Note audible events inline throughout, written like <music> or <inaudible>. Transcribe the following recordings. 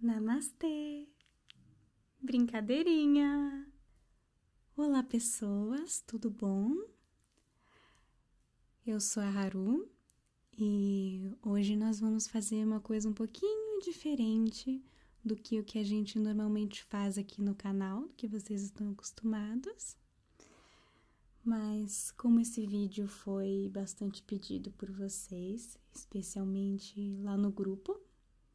Namastê! Brincadeirinha! Olá, pessoas, tudo bom? Eu sou a Haru e hoje nós vamos fazer uma coisa um pouquinho diferente do que o que a gente normalmente faz aqui no canal, que vocês estão acostumados. Mas como esse vídeo foi bastante pedido por vocês, especialmente lá no grupo.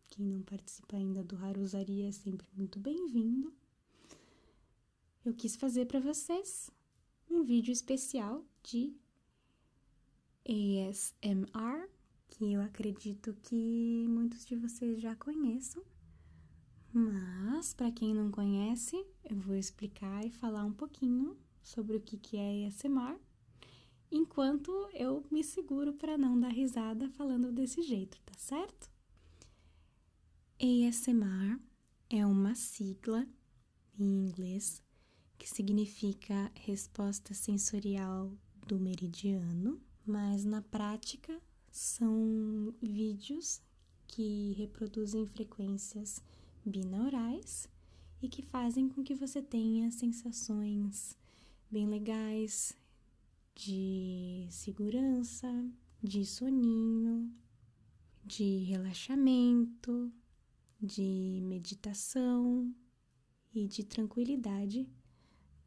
Quem não participa ainda do Haruzaria é sempre muito bem-vindo. Eu quis fazer para vocês um vídeo especial de ASMR, que eu acredito que muitos de vocês já conheçam. Mas, para quem não conhece, eu vou explicar e falar um pouquinho sobre o que, que é ASMR, enquanto eu me seguro para não dar risada falando desse jeito, tá certo? ASMR é uma sigla em inglês que significa resposta sensorial do meridiano, mas na prática são vídeos que reproduzem frequências binaurais e que fazem com que você tenha sensações bem legais de segurança, de soninho, de relaxamento, de meditação e de tranquilidade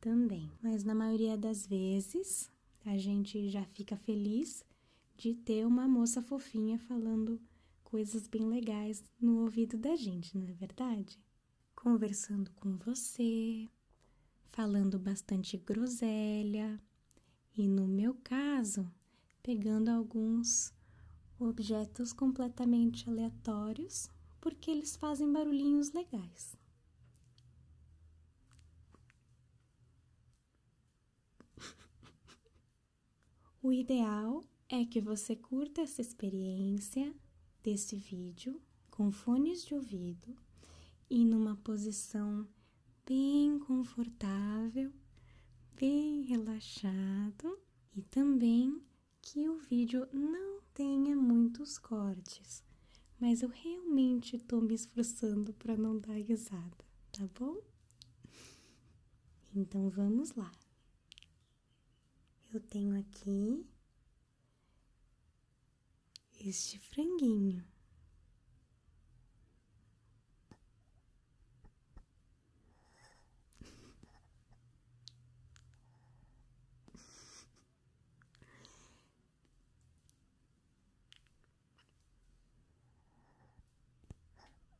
também. Mas na maioria das vezes, a gente já fica feliz de ter uma moça fofinha falando coisas bem legais no ouvido da gente, não é verdade? Conversando com você, falando bastante groselha e, no meu caso, pegando alguns objetos completamente aleatórios porque eles fazem barulhinhos legais. <laughs> O ideal é que você curta essa experiência desse vídeo com fones de ouvido e numa posição bem confortável, bem relaxado e também que o vídeo não tenha muitos cortes, mas eu realmente estou me esforçando para não dar risada, tá bom? Então vamos lá eu tenho aqui este franguinho.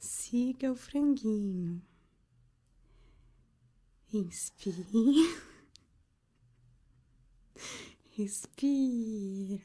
Siga o franguinho. Inspira, <laughs> Respira.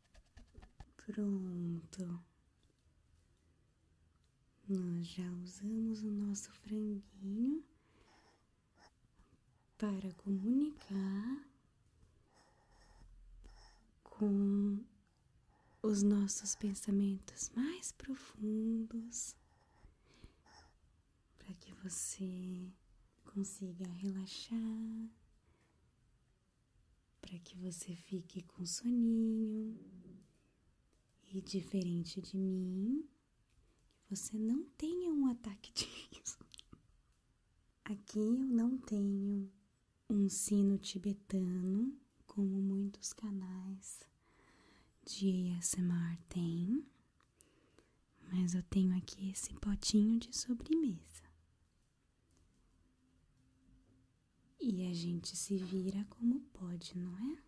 Pronto. Nós já usamos o nosso franguinho para comunicar com os nossos pensamentos mais profundos para que você consiga relaxar para que você fique com soninho e diferente de mim, que você não tenha um ataque de riso. Aqui eu não tenho um sino tibetano, como muitos canais de ASMR têm, mas eu tenho aqui esse potinho de sobremesa. E a gente se vira como pode, não é?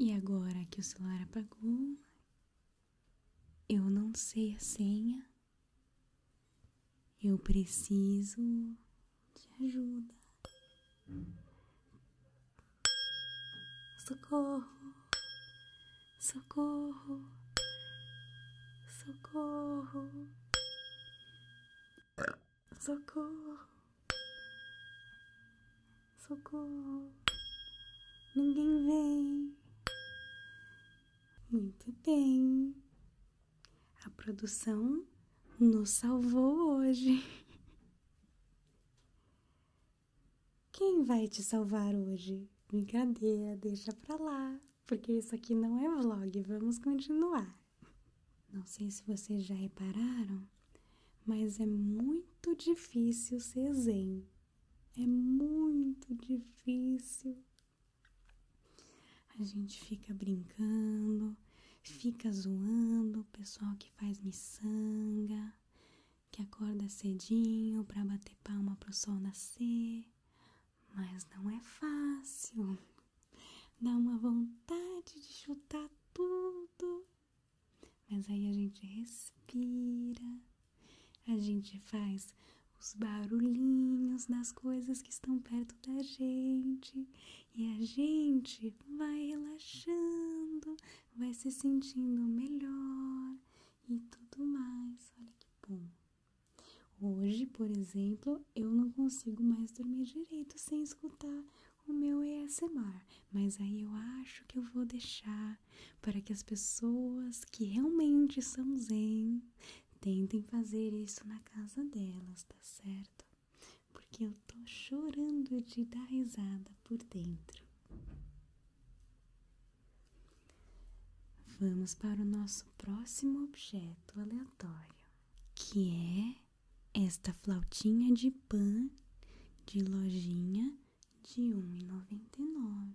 E agora que o celular apagou, eu não sei a senha. Eu preciso de ajuda. Socorro. Socorro. Socorro. Socorro. Socorro. Ninguém vem. Muito bem. A produção nos salvou hoje. <laughs> Quem vai te salvar hoje? Brincadeira, deixa pra lá, porque isso aqui não é vlog, vamos continuar. Não sei se vocês já repararam, mas é muito difícil ser zen. É muito difícil. A gente fica brincando, fica zoando o pessoal que faz miçanga, que acorda cedinho para bater palma pro sol nascer, mas não é fácil. Dá uma vontade de chutar tudo. Mas aí a gente respira a gente faz os barulhinhos das coisas que estão perto da gente e a gente vai relaxando, vai se sentindo melhor e tudo mais. Olha que bom. Hoje, por exemplo, eu não consigo mais dormir direito sem escutar o meu ASMR, mas aí eu acho que eu vou deixar para que as pessoas que realmente são zen tentem fazer isso na casa delas, tá certo? Porque eu tô chorando de dar risada por dentro. Vamos para o nosso próximo objeto aleatório, que é esta flautinha de pan de lojinha de 1,99.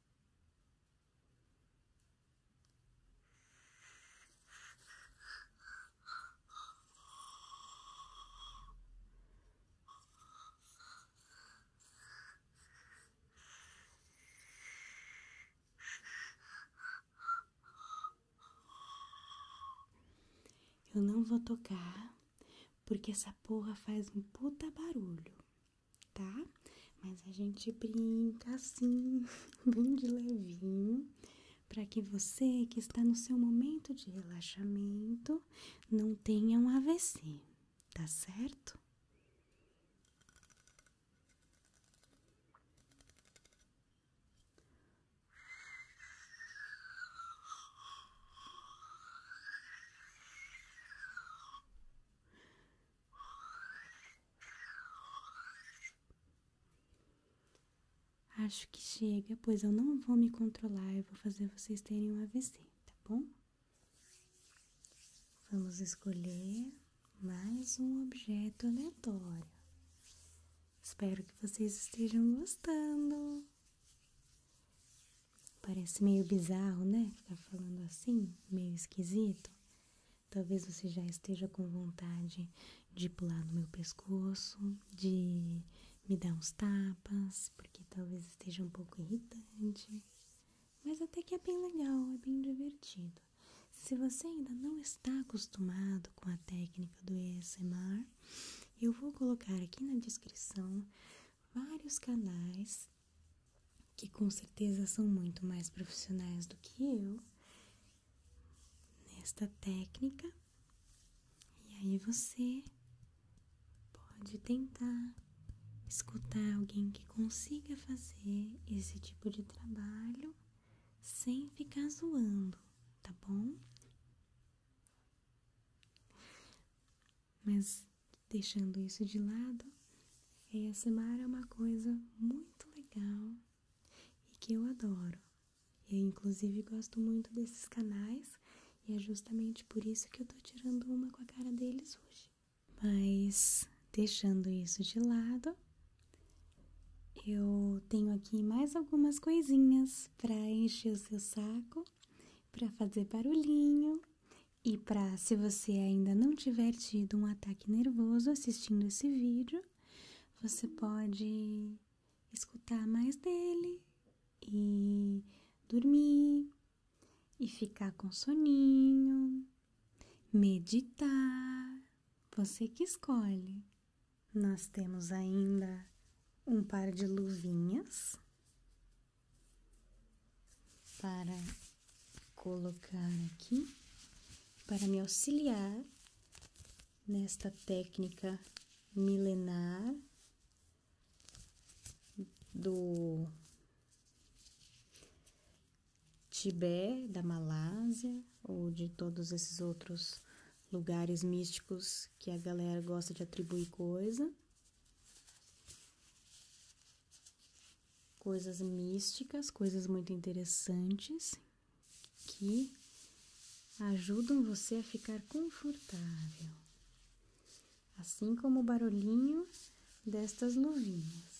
Eu não vou tocar porque essa porra faz um puta barulho tá? Mas a gente brinca assim, <laughs> bem de levinho, para que você que está no seu momento de relaxamento não tenha um AVC, tá certo? Acho que chega, pois eu não vou me controlar, e vou fazer vocês terem um AVC, tá bom? Vamos escolher mais um objeto aleatório. Espero que vocês estejam gostando. Parece meio bizarro, né? Ficar falando assim, meio esquisito. Talvez você já esteja com vontade de pular no meu pescoço, de me dar uns tapas, porque talvez esteja um pouco irritante. Mas até que é bem legal, é bem divertido. Se você ainda não está acostumado com a técnica do ASMR, eu vou colocar aqui na descrição vários canais que com certeza são muito mais profissionais do que eu nesta técnica. E aí você pode tentar escutar alguém que consiga fazer esse tipo de trabalho sem ficar zoando, tá bom? Mas deixando isso de lado, ASMR é uma coisa muito legal e que eu adoro. Eu, inclusive, gosto muito desses canais e é justamente por isso que eu tô tirando uma com a cara deles hoje. Mas, deixando isso de lado, eu tenho aqui mais algumas coisinhas para encher o seu saco, para fazer barulhinho e para se você ainda não tiver tido um ataque nervoso assistindo esse vídeo, você pode escutar mais dele e dormir e ficar com soninho, meditar, você que escolhe. Nós temos ainda um par de luvinhas para colocar aqui para me auxiliar nesta técnica milenar do Tibete, da Malásia ou de todos esses outros lugares místicos que a galera gosta de atribuir coisa coisas místicas, coisas muito interessantes que ajudam você a ficar confortável, assim como o barulhinho destas luvinhas.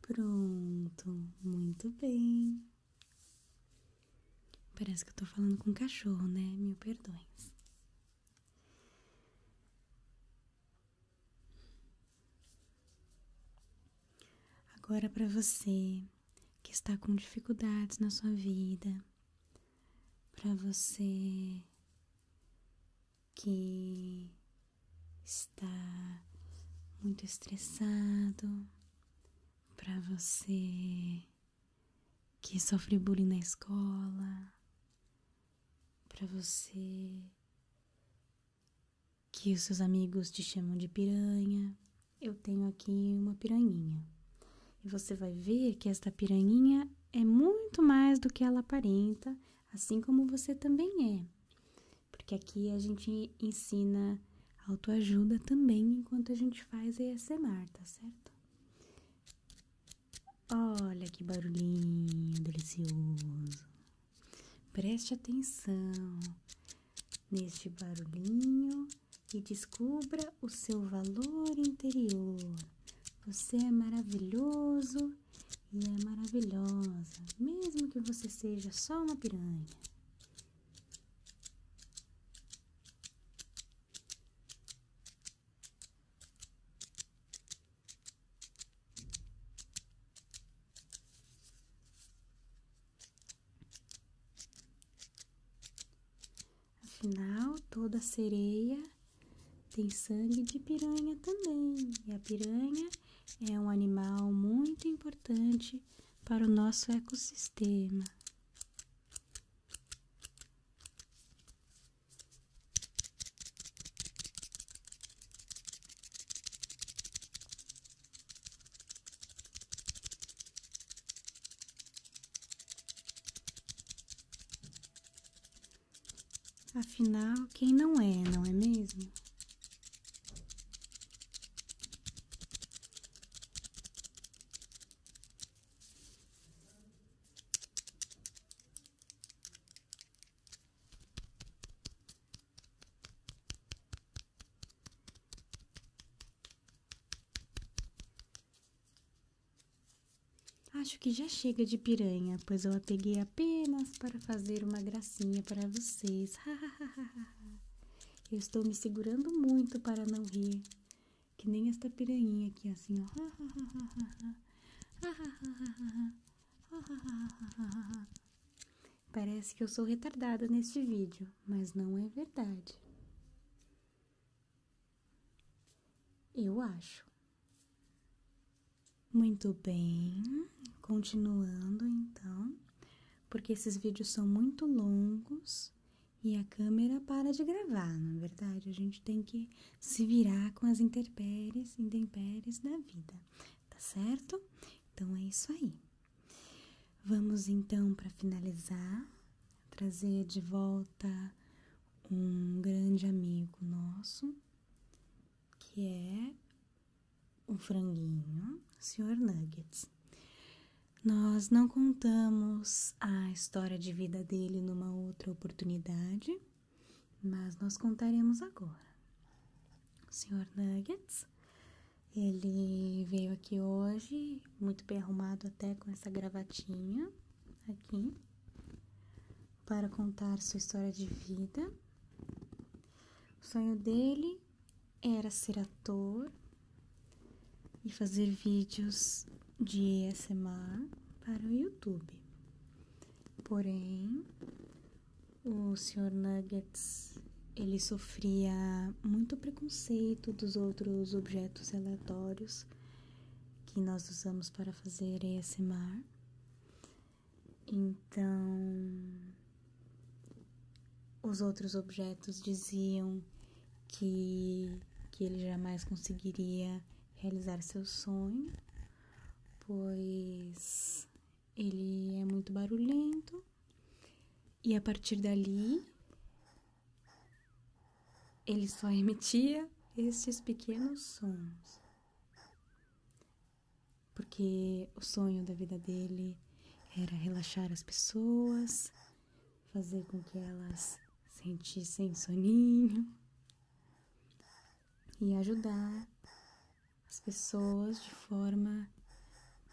Pronto, muito bem. Parece que eu tô falando com um cachorro, né? Meu perdões. Agora para você que está com dificuldades na sua vida, para você que está muito estressado, para você que sofre bullying na escola, para você que os seus amigos te chamam de piranha, eu tenho aqui uma piranhinha. E você vai ver que esta piranhinha é muito mais do que ela aparenta, assim como você também é. Porque aqui a gente ensina autoajuda também enquanto a gente faz ASMR, tá certo? Olha que barulhinho delicioso. Preste atenção neste barulhinho e descubra o seu valor interior. Você é maravilhoso e é maravilhosa, mesmo que você seja só uma piranha. Afinal, toda sereia tem sangue de piranha também. E a piranha é um animal muito importante para o nosso ecossistema. Afinal, quem não é, não é mesmo? Acho que já chega de piranha, pois eu a peguei apenas para fazer uma gracinha para vocês. eu estou me segurando muito para não rir, que nem esta piranha aqui, assim, ó. Parece que eu sou retardada neste vídeo, mas não é verdade. Eu acho. Muito bem, continuando então, porque esses vídeos são muito longos e a câmera para de gravar, na é verdade. A gente tem que se virar com as intempéries, intempéries da vida, tá certo? Então é isso aí. Vamos então para finalizar trazer de volta um grande amigo nosso, que é o franguinho, senhor Nuggets. Nós não contamos a história de vida dele numa outra oportunidade, mas nós contaremos agora. senhor Nuggets ele veio aqui hoje, muito bem arrumado até com essa gravatinha aqui, para contar sua história de vida. O sonho dele era ser ator e fazer vídeos de ASMR para o YouTube. Porém, o Sr. Nuggets ele sofria muito preconceito dos outros objetos aleatórios que nós usamos para fazer ASMR. Então, os outros objetos diziam que, que ele jamais conseguiria realizar seu sonho, pois ele é muito barulhento. E a partir dali, ele só emitia estes pequenos sons. Porque o sonho da vida dele era relaxar as pessoas, fazer com que elas sentissem soninho e ajudar as pessoas de forma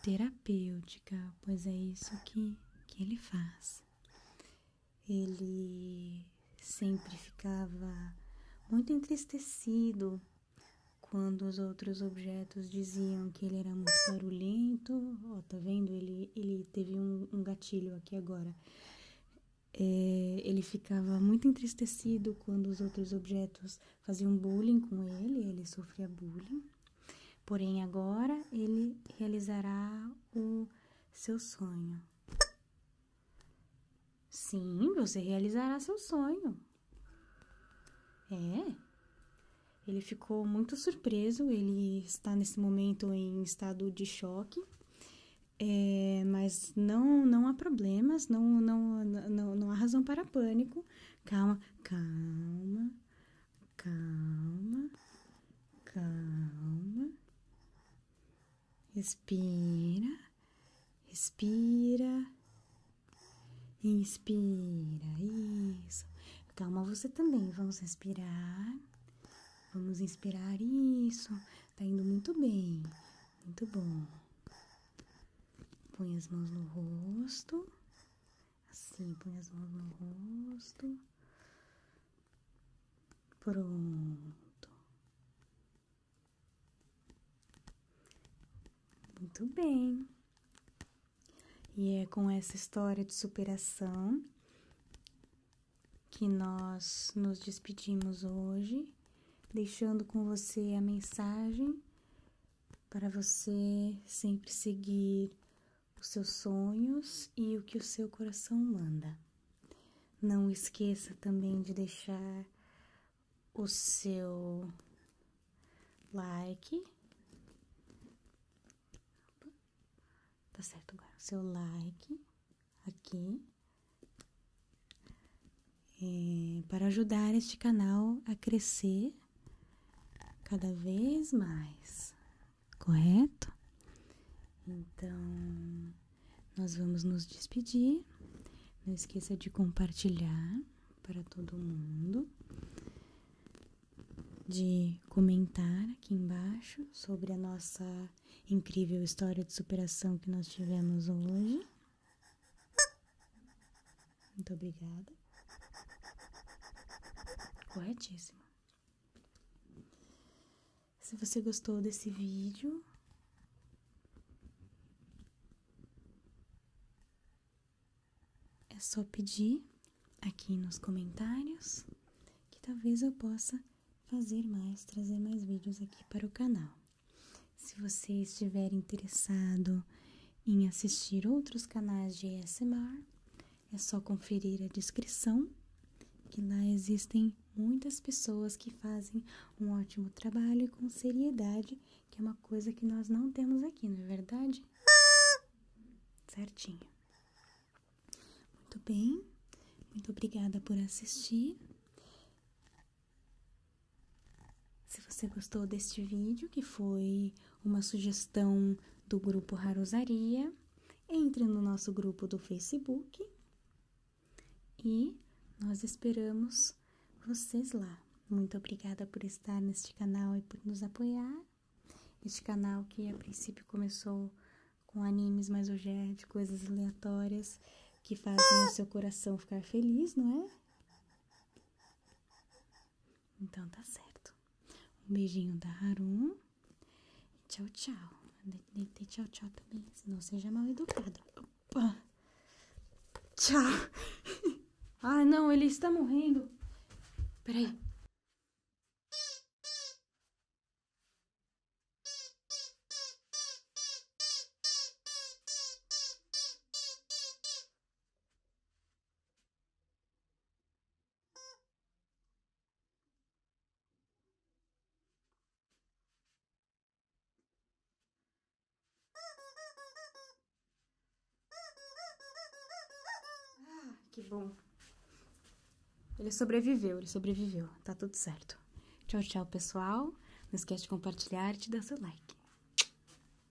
terapêutica, pois é isso que, que ele faz. Ele sempre ficava muito entristecido quando os outros objetos diziam que ele era muito barulhento. Ó, oh, tá vendo? Ele, ele teve um, gatilho aqui agora. É, ele ficava muito entristecido quando os outros objetos faziam bullying com ele, ele sofria bullying Porém, agora ele realizará o seu sonho. Sim, você realizará seu sonho. É. Ele ficou muito surpreso, ele está nesse momento em estado de choque. É, mas não não há problemas, não, não, não, não há razão para pânico. Calma, calma. Calma, calma. Respira, respira. Inspira, isso. Calma você também. Vamos respirar. Vamos inspirar, isso. Tá indo muito bem. Muito bom. Põe as mãos no rosto. Assim, põe as mãos no rosto. Pronto. Muito bem. E é com essa história de superação que nós nos despedimos hoje, deixando com você a mensagem para você sempre seguir os seus sonhos e o que o seu coração manda. Não esqueça também de deixar o seu like. Tá certo agora. O seu like aqui. Eh, para ajudar este canal a crescer cada vez mais, correto? Então, nós vamos nos despedir. Não esqueça de compartilhar para todo mundo, de comentar aqui embaixo sobre a nossa incrível história de superação que nós tivemos hoje. Muito obrigada. Corretíssimo. Se você gostou desse vídeo, é só pedir aqui nos comentários que talvez eu possa fazer mais, trazer mais vídeos aqui para o canal. Se você estiver interessado em assistir outros canais de ASMR, é só conferir a descrição, que lá existem muitas pessoas que fazem um ótimo trabalho e com seriedade, que é uma coisa que nós não temos aqui, não é verdade? Certinho. Muito bem, muito obrigada por assistir. Se você gostou deste vídeo, que foi uma sugestão do grupo Harusaria, entre no nosso grupo do Facebook e nós esperamos vocês lá. Muito obrigada por estar neste canal e por nos apoiar. Este canal que a princípio começou com animes, mas hoje é de coisas aleatórias que fazem o seu coração ficar feliz, não é? Então tá certo. Um beijinho da Harum. Tchau, tchau. Deitei tchau, tchau também. não seja é mal educado. Tchau! <laughs> ah, não, ele está morrendo. Peraí. Ah, que bom. Ele sobreviveu, ele sobreviveu. Tá tudo certo. Tchau, tchau, pessoal. Não esquece de compartilhar e de dar seu like.